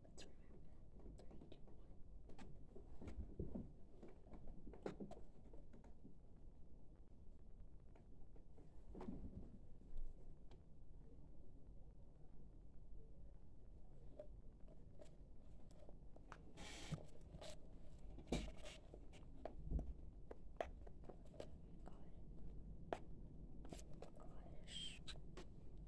Let's remove that. Three, two, one. Gosh. Gosh.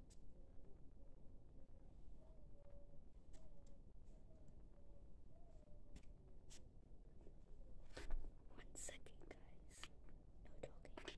One second, guys. No talking.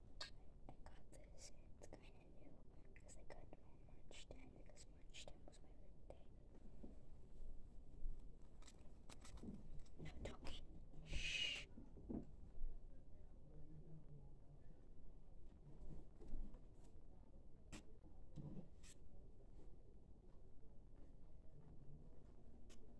I got this, it's kind of new because I got it on March 10 because March 10 was my birthday. No talking. Shh.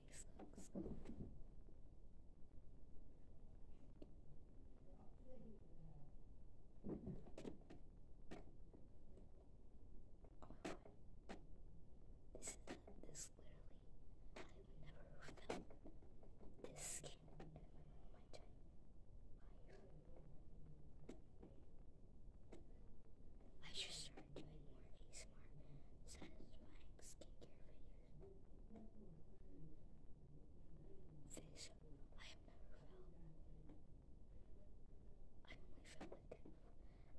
nice looks. This is this literally I've never felt this skin in my entire life. I should start doing more ASMR satisfying skincare videos. Fish, I have never felt. I only felt like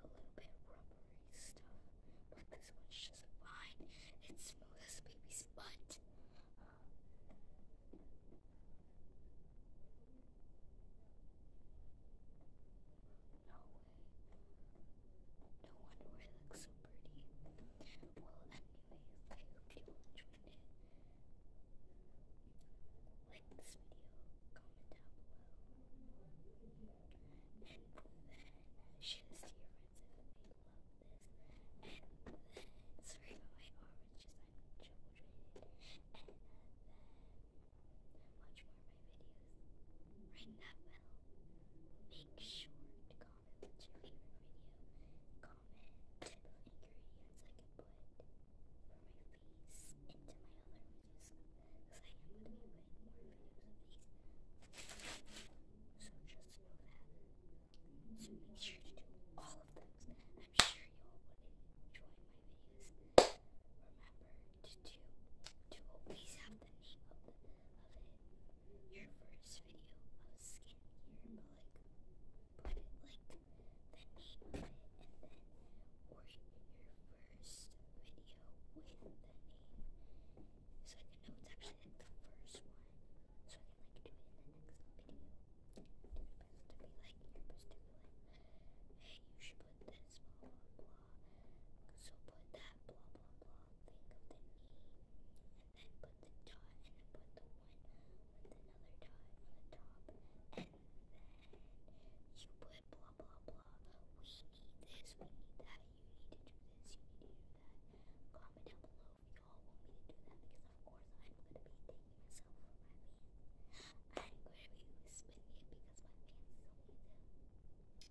a little bit rubbery stuff, but this one's just fine. It's smooth as a baby's butt. No, no wonder it looks so pretty. Well, anyways, I hope you enjoyed it. Like this video, comment down below, and then share this to your friends if they love this. And then, sorry about my oranges, I'm trouble training. And then, watch more of my videos. Ring that bell. Make sure to comment comment, what's your favorite video, comment ingredients face into my other videos, so just know that, so make sure to do all of those, I'm sure you all enjoy my videos, remember to do, to always have the, of, the, of it. Your first video of skincare, but like, put it like the name of it, and then, or your first video with the so I can know it's actually the first one, so I can like do it in the next video. And you to be like, you to be like, hey, you should put this, So put that that blah blah blah thing of the knee, and then put the dot, and then put the one with another dot on the top, and then you put blah blah blah. We need this, we need that, you need to do this, you need to do that. Comment down below if you all want me to do that, because of course I'm gonna be taking myself for my fans. I'm gonna be spinning it because my fans told me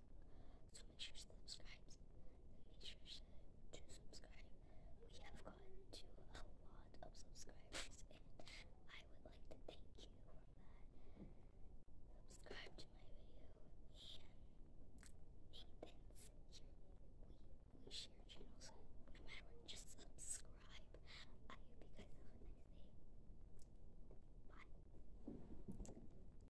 so make sure to subscribe. Make sure to subscribe. We have gotten to a lot of subscribers, and I would like to thank you for that. Subscribe to my video and hate things. Here we, we share channels. No matter just subscribe. I hope you guys have a nice day. Bye.